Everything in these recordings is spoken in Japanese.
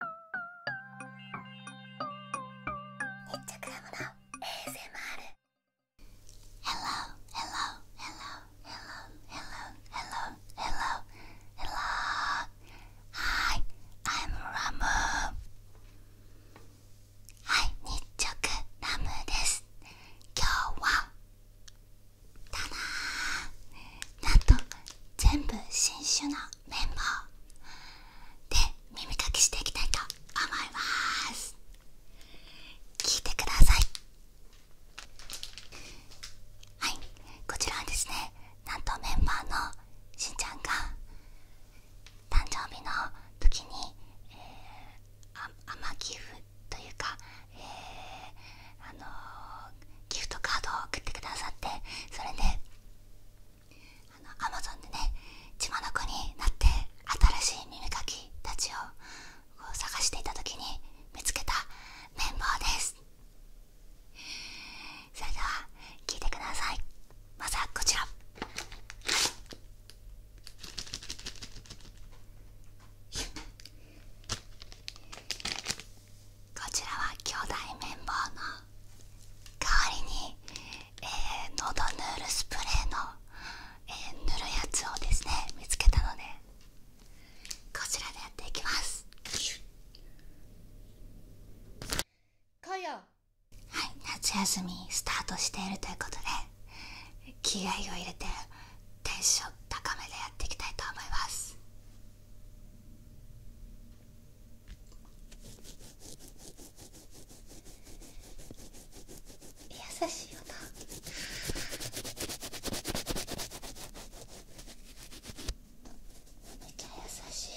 Hello, hello, hello, hello, hello, hello, hello, hello. Hi, I'm Ramu. はい、日直ラムです。今日はただーなんと全部新種のメンバーで耳かきしていきたいと思います聞いてくださいはいこちらはですねなんとメンバーのしんちゃんが誕生日の時に、えー、あまギフというか、えあのギフトカードを送ってくださってそれでアマゾンでね血子になって新しい耳かきたちをこう探していた時に見つけた綿棒ですそれでは聴いてくださいまずはこちらこちらは兄弟綿棒の代わりに、えー、のどヌールスプレーの、えー、塗るやつをですね見つけたのでこちらでやっていきますはい夏休みスタートしているということで気合を入れてテンション高めでやっていきたいと思います優しいよなめっちゃ優しい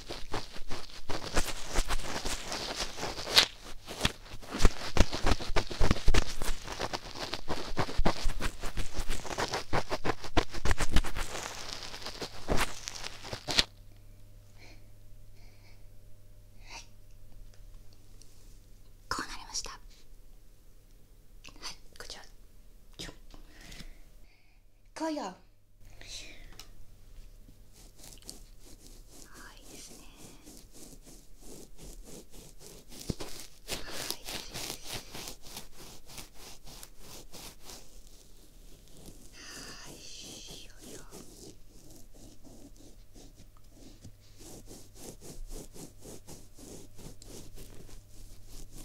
はいこうなりましたはいこちらよっこうあいいですねはいよいよはい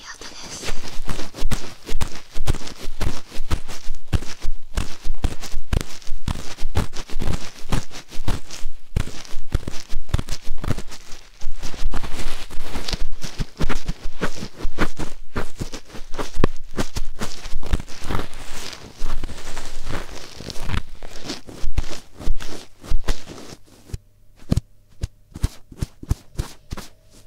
いい音です。耳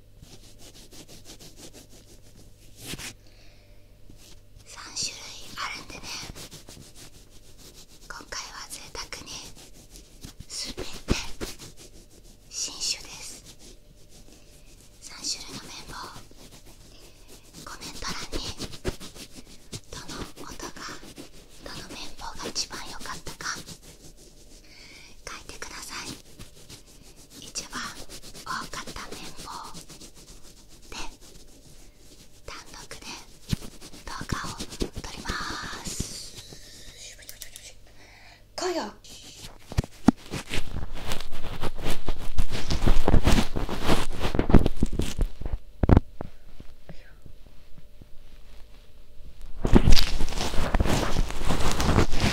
3種類あるんでね今回は贅沢にすべて新種です3種類の綿棒コメント欄にどの音がどの綿棒が一番良かったか書いてください一番多かった綿棒で単独で動画を撮ります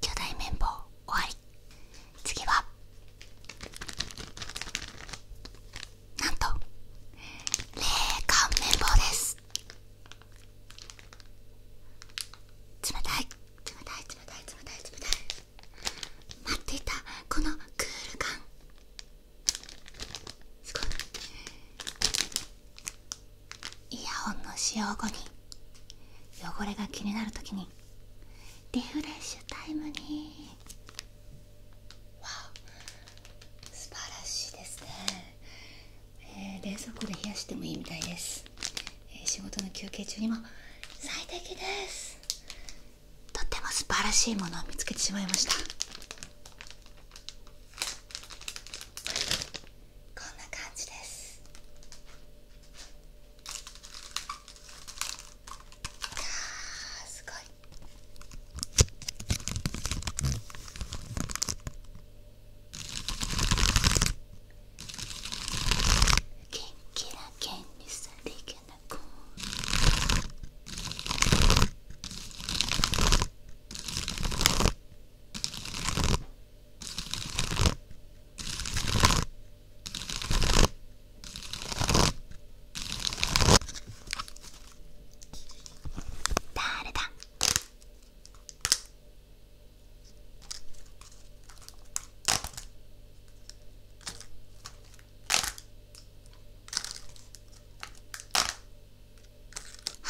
巨大綿棒終わ次はなんと冷感綿棒です冷たい冷たい冷たい冷たい待っていたこのクール感すごいイヤホンの使用後に汚れが気になる時にリフレッシュタイムにわお素晴らしいですね、冷蔵庫で冷やしてもいいみたいです、仕事の休憩中にも最適ですとっても素晴らしいものを見つけてしまいましたこんな感じですあすごい元気な剣にさりげなく「誰だは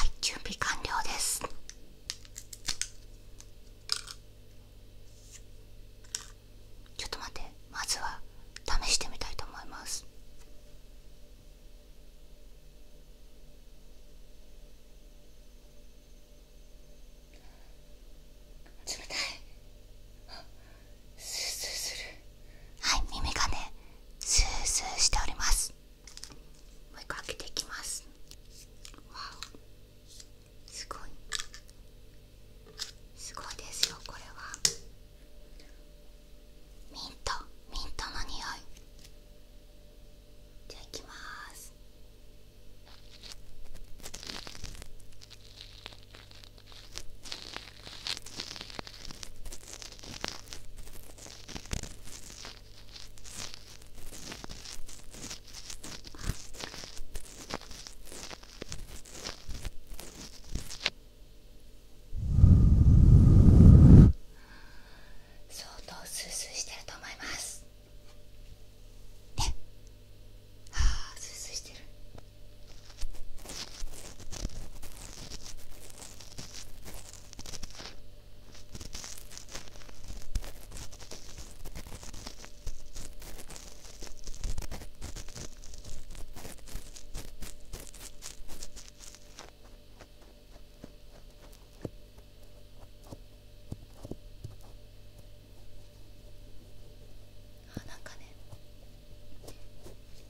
い準備完了ですちょっと待ってまずは試してみたいと思います冷たいはい耳がねスースーしておりますもう一個開けていきますわおすごいすごいですよこれはミントミントの匂いじゃあいきますああ相当スースーしてると思いますねはあスースーしてるあなんかね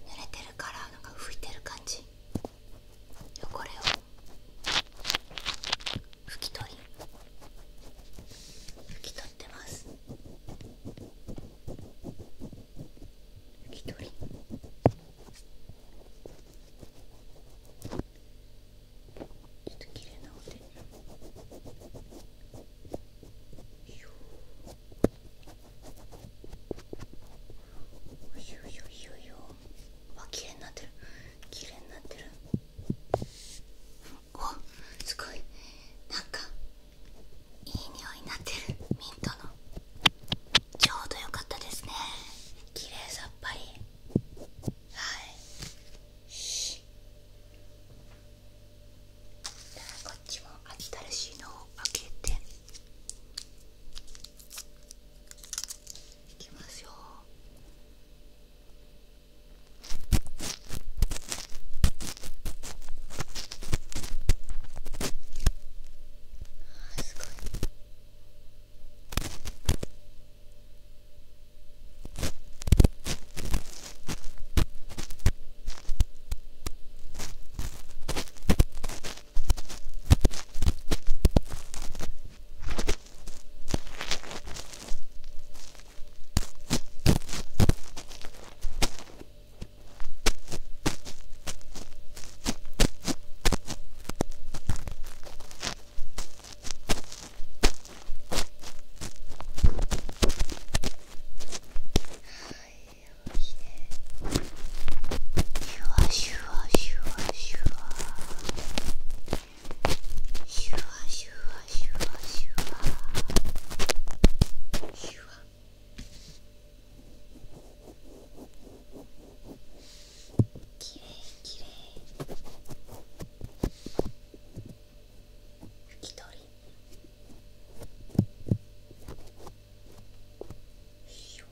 濡れてるからなんか拭いてる感じ汚れを拭き取り拭き取ってます拭き取りちょっと綺麗なお手よいしょよいしょよいしょ。わ綺麗になってる綺麗になってるおすごいなんかいい匂いになってるミントのちょうどよかったですね綺麗さっぱりはいしこっちも秋田らしいのを開けていきましょう。すごいシュワシュワシュワシュワシュワシュワシュワシュワシュワきれいきれい拭き取りシュワ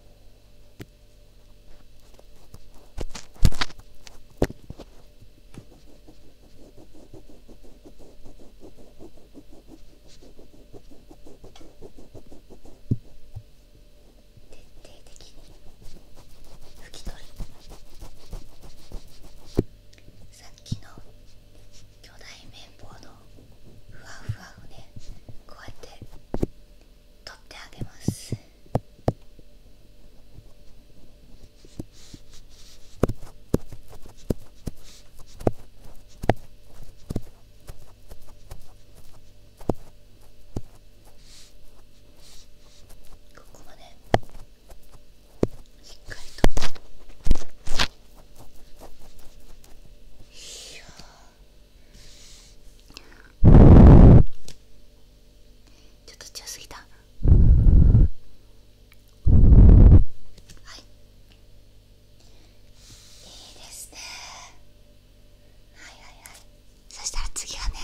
徹底的に拭き取り。さっきの巨大綿棒のふわふわをねこうやって取ってあげますここまでしっかりと。ちょっと強すぎたはいいいですねはいはいはいそしたら次はね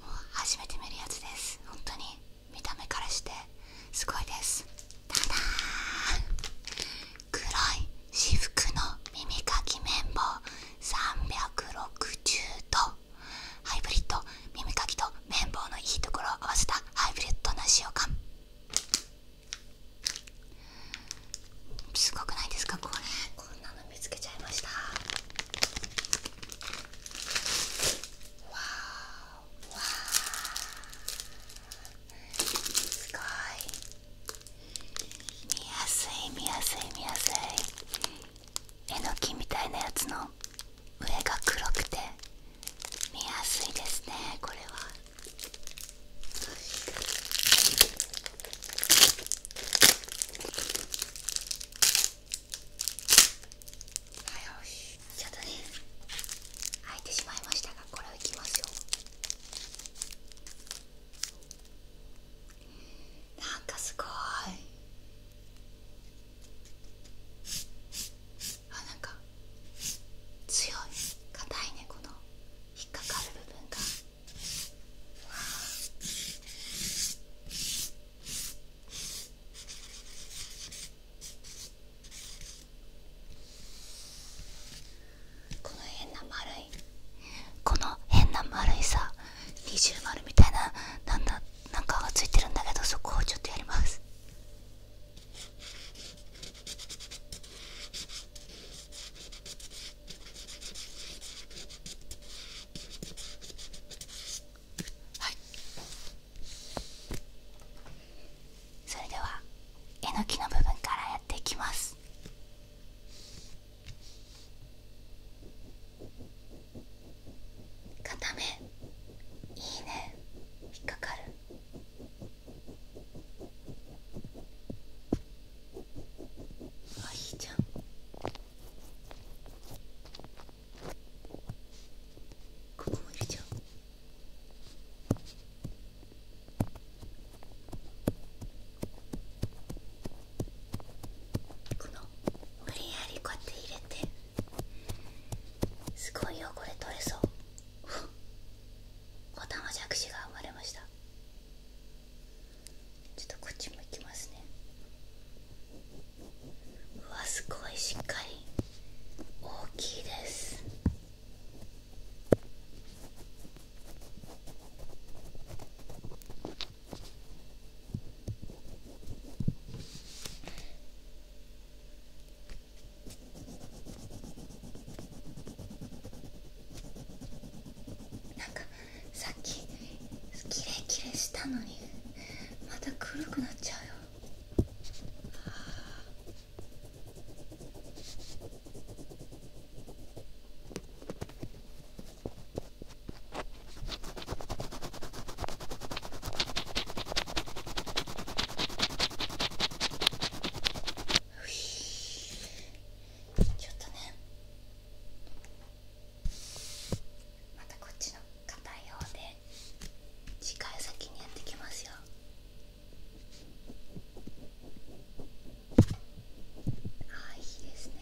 もう初めて見るやつです本当に見た目からしてすごいですダダ黒い私服の耳かき綿棒360度ハイブリッド耳かきと綿棒のいいところを合わせたハイブリッドな使用感すごくないですかこれこんなの見つけちゃいましたわーわーすごい見やすい見やすい見やすいえのきみたいなやつの上が黒くて見やすいですねこれははいしちょっとね開いてしまいましたがこれをいきますよなんかすごいあなんか強い硬いねこの引っかかる部分がこの変な丸この変な丸いさ二重丸みたいななんだなんかがついてるんだけどそこをちょっとやりますはいそれではえのきの部分からやっていきます片め。いいね引っかかるあいいじゃんここもいるじゃうこの無理やりこうやって入れてすごい汚れ取れそうおたまじゃくしが生まれましたちょっとこっちもいきますねうわすごいしっかり大きいですなんかさっきキレキレしたのにまた黒くなっちゃうよ。ちょっとねまたこっちの硬いうで次回先にやってきますよ。はいいですね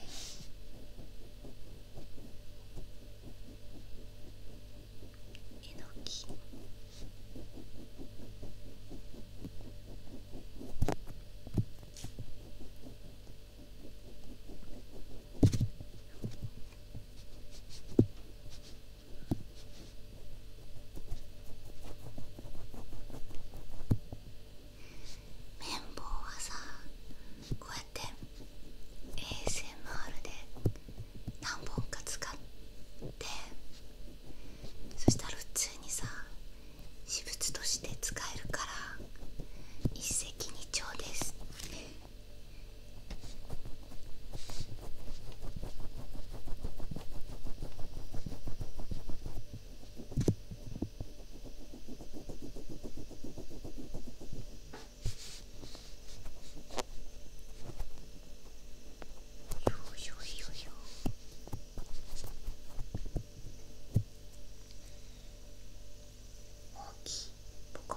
えのき綿棒はさこうやって ASMR で何本か使ってそしたら普通にさ私物として使えるから一石二鳥です。よいよいよ大いボコ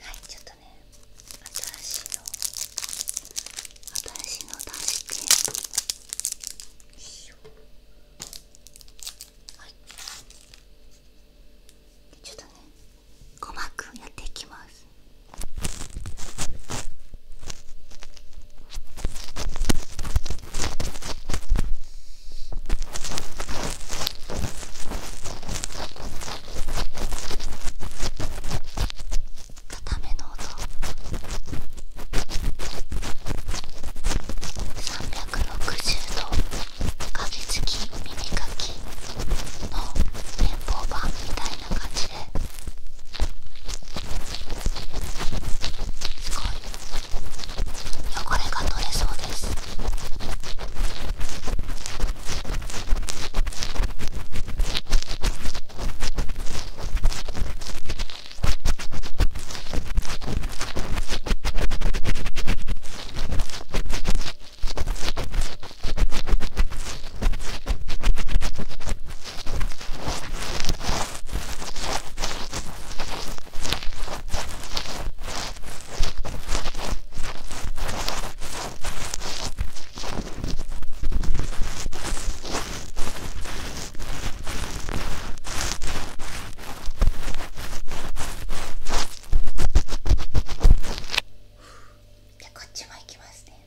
はいちょっとね新しいの新しいのを出してよいしょはいちょっとね鼓膜やっていきます固めの音360度カビ付き耳かきの連邦版みたいな感じですごい汚れが取れそうですじゃあこっちも行きますね。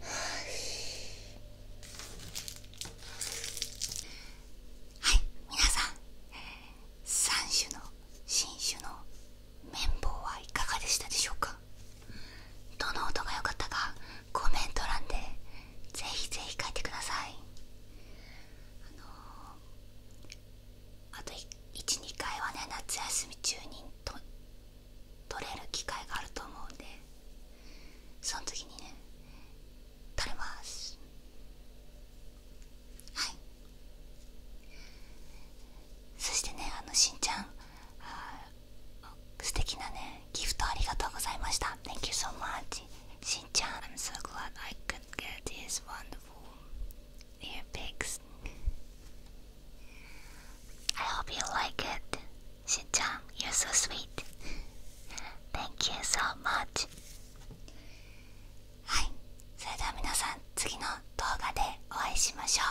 はい皆さん3種の新種の綿棒はいかがでしたでしょうかどの音が良かったかコメント欄でぜひぜひ書いてくださいあのあと12回はね夏休み中にと取れる機会があると思うんでその時にね取れますはいそしてねあのしんちゃん素敵なねギフトありがとうございました Thank you so much しんちゃん I'm so glad I could get these wonderful earpigs I hope you like it. s h i n c h a y o u so sweet. Thank you so much. はい、それでは皆さん次の動画でお会いしましょう。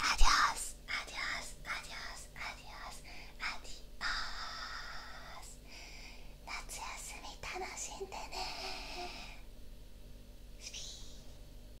アディオス、アディオス、アディオス、アディオス、アディオス。夏休み楽しんでね。